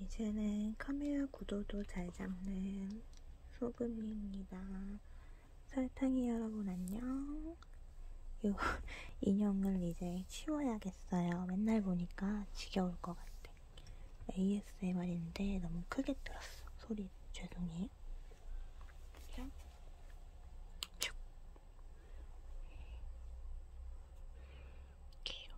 이제는 카메라 구도도 잘 잡는 소금입니다. 설탕이 여러분 안녕. 이 인형을 이제 치워야겠어요. 맨날 보니까 지겨울 것 같아. ASMR인데 너무 크게 들었어. 소리 죄송해요. 볼게요.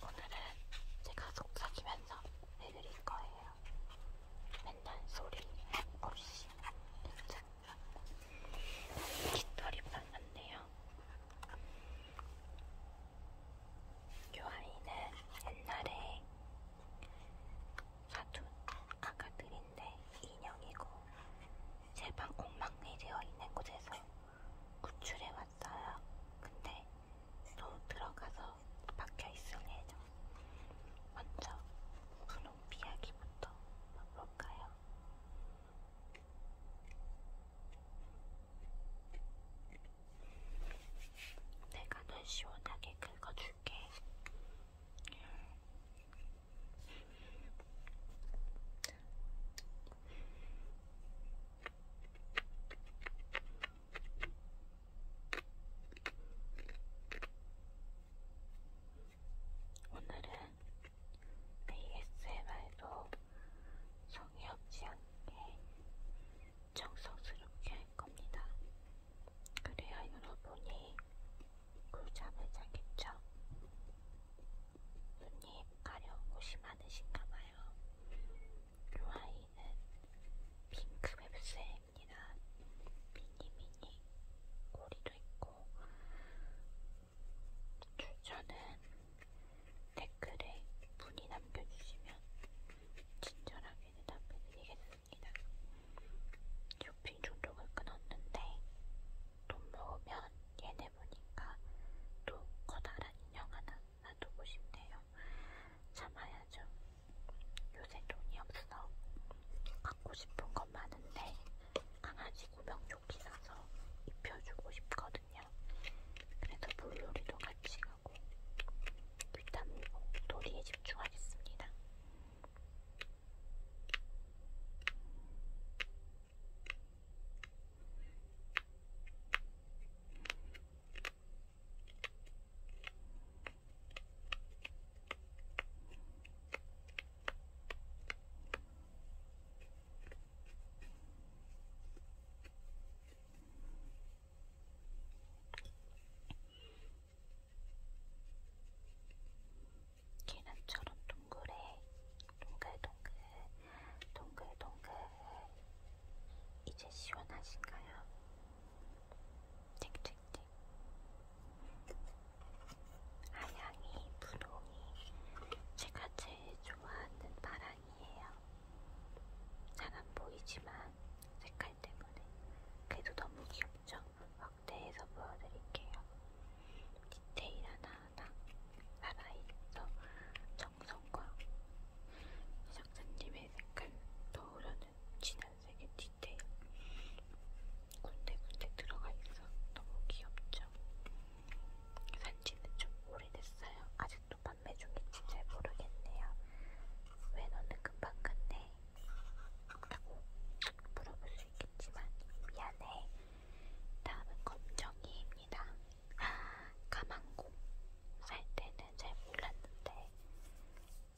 오늘은 제가 속삭이면서 해드릴 거예요. 맨날 소리 없이 괜찮아. 깃털이 발랐네요. 이 아이는 옛날에 사툰 아까 드린데 인형이고 제방 엉망이 되어 있는 곳에서 구출해 왔어요. 근데 또 들어가서 박혀 있을 예정. 먼저 분홍 비야기부터 볼까요? 내가 널 시원하게 긁어줄 해줄게. 오늘은 ASMR도 성의 없지 않게 정성스럽게 할 겁니다. 그래야 여러분이 꿀잠을 자겠죠? 손님 가려운 곳이 많으신가봐요. 이 아이는 핑크 웹스입니다. 미니미니 꼬리도 있고 추천은 댓글에 문의 남겨주시면 친절하게 대답해드리겠습니다. 있습니다. 쇼핑 종족을 끊었는데 돈 모으면 얘네 보니까 또 커다란 인형 하나 놔두고 싶네요. 참아야죠. 요새 돈이 없어. 갖고 싶은 건 많은데 강아지 구명조끼 사서 입혀주고 싶거든요. 그래서 물놀이도 같이 가고 귀담고 도리에 집중하겠습니다. 계란처럼 동그래 동글동글 동글동글 이제 시원하신가요? 틱틱틱 하양이 분홍이 제가 제일 좋아하는 바람이에요. 잘 안보이지만 색깔 때문에. 그래도 너무 귀엽죠? 확대해서 보여드릴게요. 디테일 하나하나 살아있어 정성과 이 작가님의 색깔 떠오르는 진한색의 디테일 군데군데 들어가 있어 너무 귀엽죠? 산지는 좀 오래됐어요. 아직도 판매 중인지 잘 모르겠네요. 왜 너는 금방 갔네? 없다고 물어볼 수 있겠지만 미안해. 다음은 검정이입니다. 아, 가망고 살 때는 잘 몰랐는데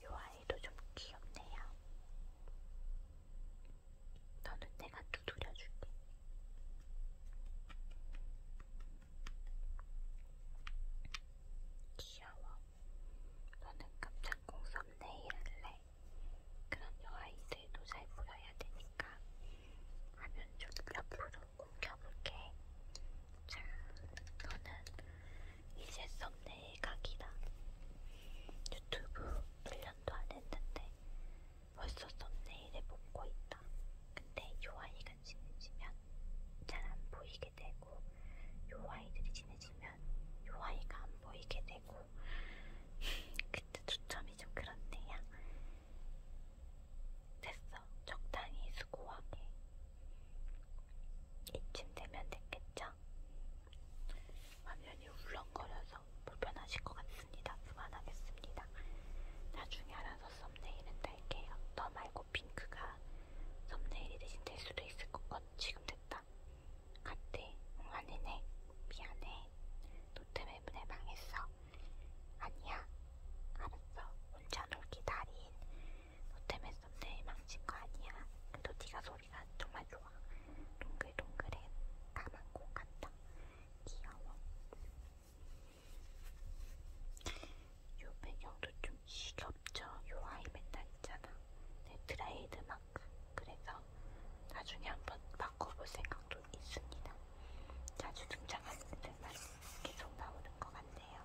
요 아이도 좀 귀엽네요. 너는 내가 두드려줄게. 귀여워. 너는 깜짝 공섭 내일 할래. 그런 여아이들도 잘 보여야 되니까 화면 좀 옆으로 옮겨볼게. 자, 너는 이제 썸네일 각이다. 유튜브 1년도 안 했는데 벌써 썸네일에 먹고 있다. 근데 요아이가 지내지면 잘 안 보이게 보이게 되고 요 아이들이 친해지면 요 아이가 안 보이게 되고 그때 초점이 좀 그렇네요. 됐어. 적당히 수고하게. 이쯤 되면 됐겠죠? 화면이 울렁거려서 불편하실 것 같습니다. 그만하겠습니다. 나중에 알아서 썸네일은 달게요. 너 말고 핑크가 썸네일이 대신 될 수도 있을 것어 지금 됐다 안돼 응 안되네 미안해 노트맵에 망했어 아니야 알았어 혼자 놀기 달인 노트맵 썸네일 망친거 아니야 그래도 네가 소리가 정말 좋아 동글동글해 까만 공 같다 귀여워 요 배경도 좀 시겹죠? 요 아이 맨날 있잖아. 내 네, 드라이드 마크. 그래서 나중에 한번 바꿔볼 생각도 있습니다. 자주 등장하는 데만 계속 나오는 것 같네요.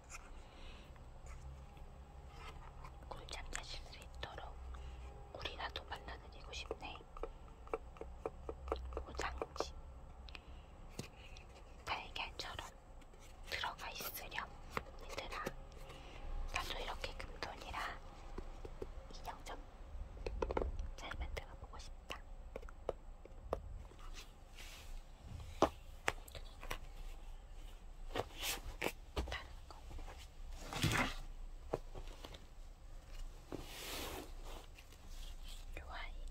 꿀잠 자실 수 있도록 우리 나도 만나드리고 싶네. 보장지 달걀처럼 들어가 있으렴 얘들아 나도 이렇게 금돈이라 인형 좀잘 만들어 보고 싶다 다른 거요 아이는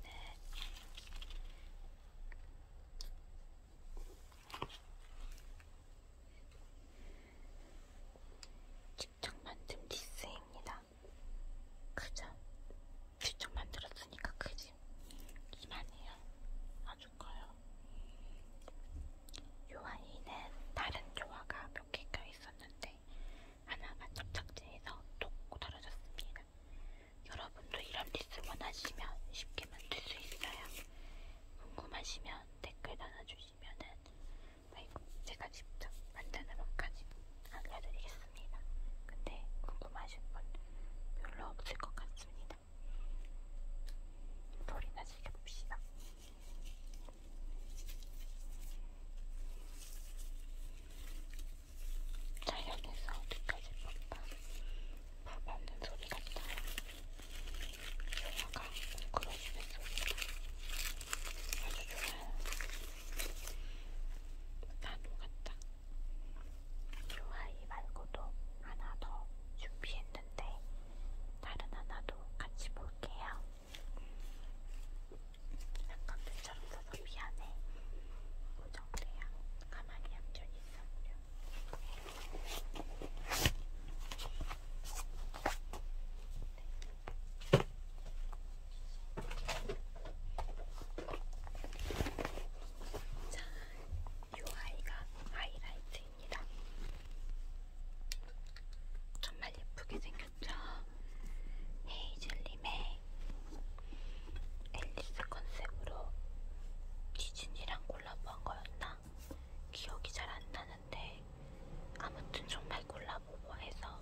직접 만든 디스입니다. 그죠? 직접 만들었으니까 크지? 이만해요. 아주 커요. 요 아이는 다른 조화가 몇 개 껴있었는데 하나가 접착제에서 톡 떨어졌습니다. 여러분도 이런 디스 원하시면 쉽게 만들 수 있어요. 궁금하시면 댓글 달아주시면은 아이고 제가 직접 만드는 것까지 알려드리겠습니다. 근데 궁금하신 분 별로 없을 것 같습니다. 소리나 즐겨봅시다. 자연에서 어디까지 뻗다. 밥 없는 소리 같다. 영화가 그려지는 소리가 아주 좋아요. 나도 같다. 좋아이 말고도 하나 더 준비했는데 다른 하나도 같이 볼게요. 약간 눈처럼 써서 미안해. 고정돼야 가만히 얌전히 있어보려. 자, 요 아이가 하이라이트입니다. 정말 예쁘게 생겼죠? 헤이즐님의 앨리스 컨셉으로 디즈니랑 콜라보한 거였나? 기억이 잘 안 나는데 아무튼 정말 골라보고 해서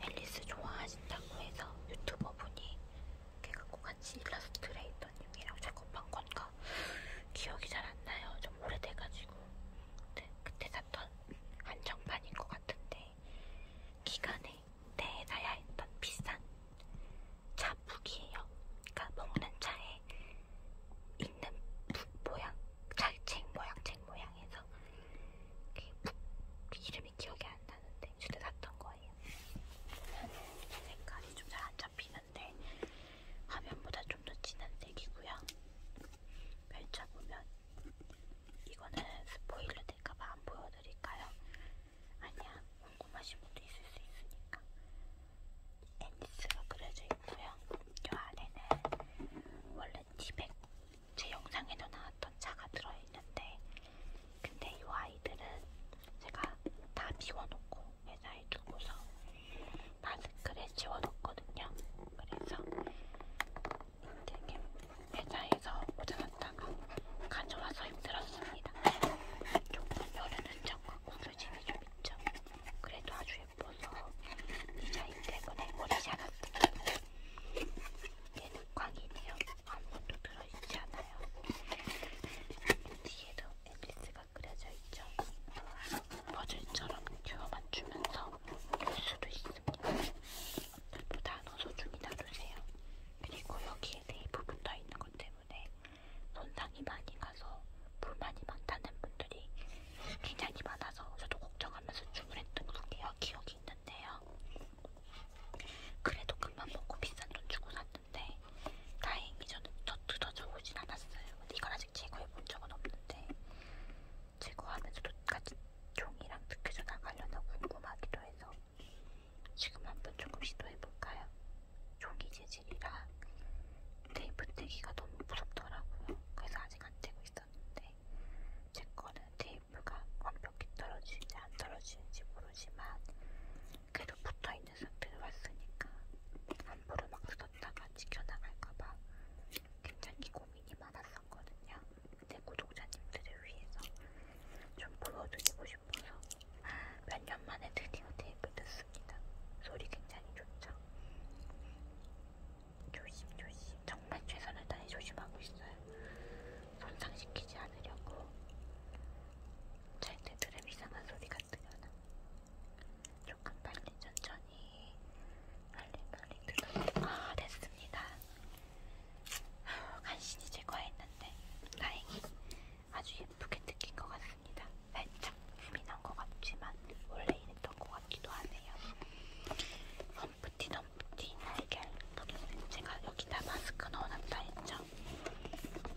앨리스 좋아하신다고 해서 유튜버 분이 걔가 꼭 같이 일러스트레이터님이랑 작업한 건가 기억이 잘 안 나요. 좀 오래돼가지고 근데 네, 그때 샀던 한정판인 것 같은데 기간에 내놔야 네, 했던 비싼 차 묵이에요. 그러니까 먹는 차에 있는 묵 모양, 찰챙 모양, 책 모양에서 묵 이름이 기억이 안 나는데 주제 샀던 거예요. 보면은 색깔이 좀 잘 안 잡히는데 화면보다 좀 더 진한 색이고요. 펼쳐보면 이거는 스포일러 될까봐 안 보여드릴까요? 아니야, 궁금하신 분도 있을 수 있으니까. 엔디스가 그려져 있고요. 요 아래는 원래 티백 제 영상에도 나왔던 차가 들어있는데, 근데 요 아이들은 제가 다 비워놓고 회사에 두고서 마스크를 지워놓거든요. 그래서 되게 회사에서 오자갔다가 가져와서 힘들었습니다. 조금 여름은 미적과 구겨짐이 좀 있죠. 그래도 아주 예뻐서 디자인 때문에 오래 살았어요. 얘는 꽝이네요. 아무것도 들어있지 않아요. 뒤에도 앨리스가 그려져 있죠. 버즐처럼 큐어만 주면서 놀 수도 있습니다. 물보다 더 소중히 놔두세요. 그리고 여기에 네이프 붙어 있는 것 때문에 때문에 손상이 많이 가서 불만이 많다는 분들이 굉장히 많아서 저도 걱정하면서 주문했던 게요 기억이 있는데요. 그래도 금방 먹고 비싼 돈 주고 샀는데 다행히 저는 저 뜯어져 오진 않았어요. 근데 이걸 아직 제거해 본 적은 없는데 제거하면서도 같이 종이랑 뜯겨져 나가려나 궁금하기도 해서 지금 한번 조금 시도해 볼까요? 종이 재질이라 테이프 떼기가 너무 무섭더라고요. 그래서 아직 안 떼고 있었는데 제 거는 테이프가 완벽히 떨어지는지 안 떨어지는지 모르지만 그래도 붙어있는 상태로 왔으니까 함부로 막 썼다가 지켜나갈까봐 굉장히 고민이 많았었거든요. 내 구독자님들을 위해서 좀 보여드리고 싶어요. 싶어서 아, 몇년 만에 드디어 테이프 듣습니다. 소리 굉장히 좋죠? 조심조심. 정말 최선을 다해 조심하고 있어요. 손상시키지 않으려고. 차인데 들으면 이상한 소리가 들려나? 조금 빨리 천천히 빨리 빨리 들어. 아 됐습니다. 간신히 제거했는데 다행히 아주 예쁘게 뜯긴 것 같습니다. 같습니다. 살짝 흠이 난것 같지만 원래 이랬던 것 같기도 하네요. 럼프티 럼프티 날개 제가 여기다 마스크 넣어놨다 했죠?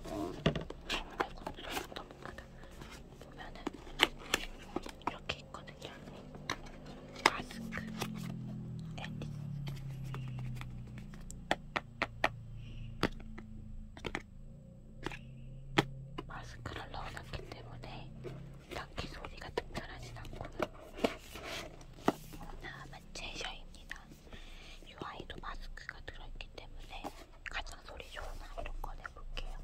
아이고 소리가 너무 크다. 보면은 이렇게 있거든요. 마스크 앤디스 마스크를 넣어놨기 때문에 딱히 소리가 특별하진 않고요. 다음은 제셔입니다. 이 아이도 마스크가 들어있기 때문에 가장 소리 좋은 아이로 꺼내볼게요.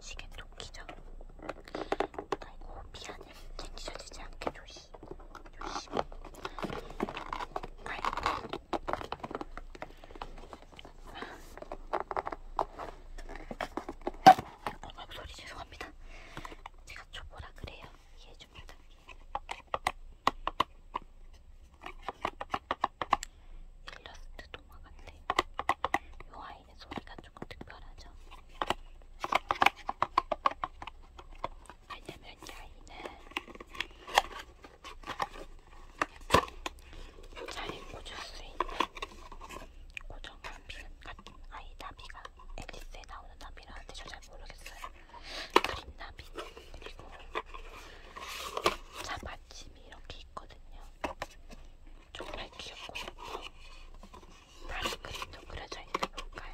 시계 토끼죠? 아이고 미안해. 땡기셔지지 않게 조심. 조심. 아이고 어, 소리 죄송합니다. 제가 초보라 그래요. 이해해 줍니다. 일러스트 도마같네. 요 아이는 소리가 조금 특별하죠. 왜냐면 이 아이는 잘 꽂을 수 있는 고정 나비 같은 아이 나비가 앨리스에 나오는 나비라는데 저잘 모르겠어요. 그린 나비 그리고 자마침이 이렇게 있거든요. 정말 귀엽고 예뻐. 다른 그림도 그려져 있는 걸까요?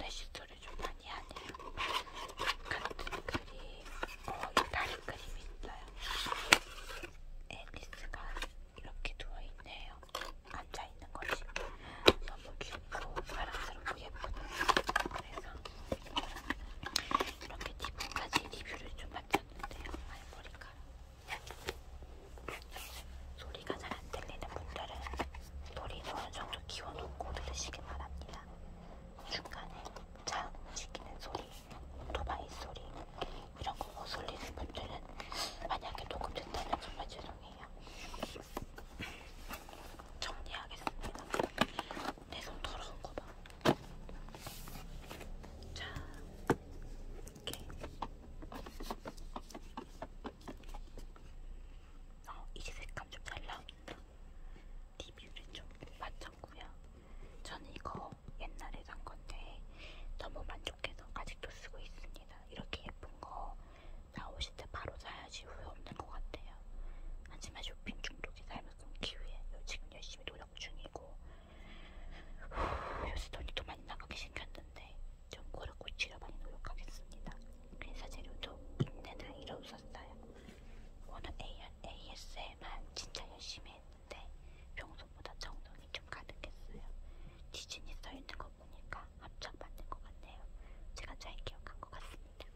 레시도 소리 좀 많이 하네요. 같은 그림, 어, 이 다른 그림이 있어요. 앨리스가 이렇게 누워있네요. 앉아있는 거지. 너무 귀엽고 사랑스럽고 예쁘네요. 그래서 이렇게 지금까지 리뷰를 좀 마쳤는데요. 말머리가 소리가 잘 안 들리는 분들은 돌이 어느 정도 키워놓고 들으시길 바랍니다. 중간에 차 움직이는 소리, 오토바이 소리 이런 거 거슬리는 분들은 만약에 녹음됐다면 정말 죄송해요. 정리하겠습니다. 내 손 더러운 거 봐. 자, 이렇게. 어, 이제 색감 좀잘 나온다. 리뷰를 좀 마쳤고요. 저는 이거 옛날에 산 건데 너무 만족해서 아직도 쓰고 있습니다. 이렇게 예쁜 거 나오실 때 바로 사야지 후회 없는 것 같아요. 하지만 쇼핑 중독이 삶을 끊기 위해 지금 열심히 노력 중이고 후, 요새 돈이 또 많이 나가게 생겼는데 좀 고르고 치려 많이 노력하겠습니다. 그래서 재료도 이때나 이로 없었어요. 오늘 ASMR 진짜 열심히 했는데 평소보다 정성이 좀 가득했어요. 디즈니 써있는 거 보니까 합작 맞는 것 같네요. 제가 잘 기억한 것 같습니다.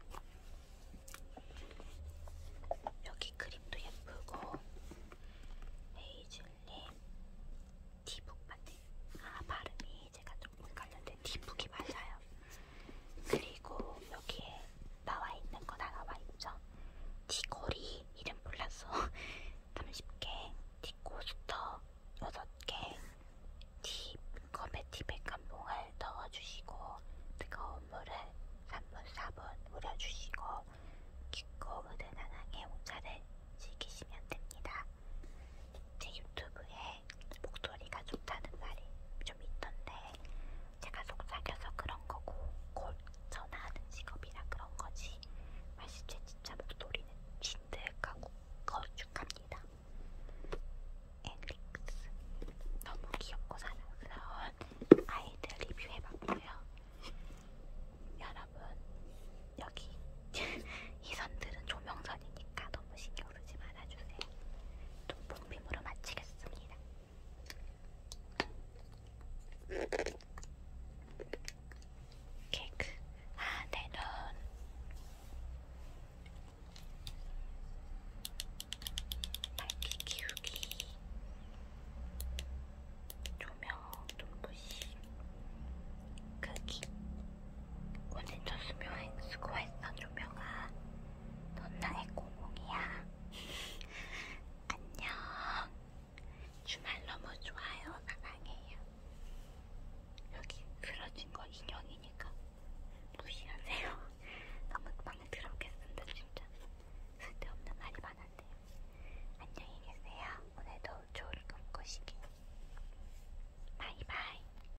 여기 그림도 예쁘고 헤이즐님 디북 맞네. 아 발음이 제가 좀 헷갈렸는데 뒷북이 맞아요. 그리고 여기에 나와 있는 거다 나와 있죠. 뒷골이 이름 몰랐어. 30개, 뒷코스터 6개, 뒷컵에 티백한 봉을 넣어주시고 뜨거운 물을 3분 4분 우려주시고 깊고 은은한 향의 홍차를 즐기시면 됩니다. 제 유튜브에 목소리가 좋다는 말이 좀 있던데 제가 속삭여서 그런 거고 곧 전화하는 직업이라 그런 거지 사실 제 진짜 목소리는 진득하고 거쭉합니다. 엔릭스 너무 귀엽고 사랑스러운 아이들 리뷰해봤고요. 여러분 여기 이 선들은 조명선이니까 너무 신경 오르지 말아주세요. 돈봉 피부로 마치겠습니다. 케이크 아, 내 눈. 밝기 키우기. 조명, 눈부시. 크기. 오진초 수묘행 수고했어 조명아 넌 나의 고몽이야 안녕 주말 너무 좋아요 사랑해요 여기 그려진 거 인형이니까 무시하세요 너무 많이 들었겠습니다 진짜 쓸데없는 말이 많았네요 안녕히 계세요 오늘도 좋은 꿈 꾸시기 바이바이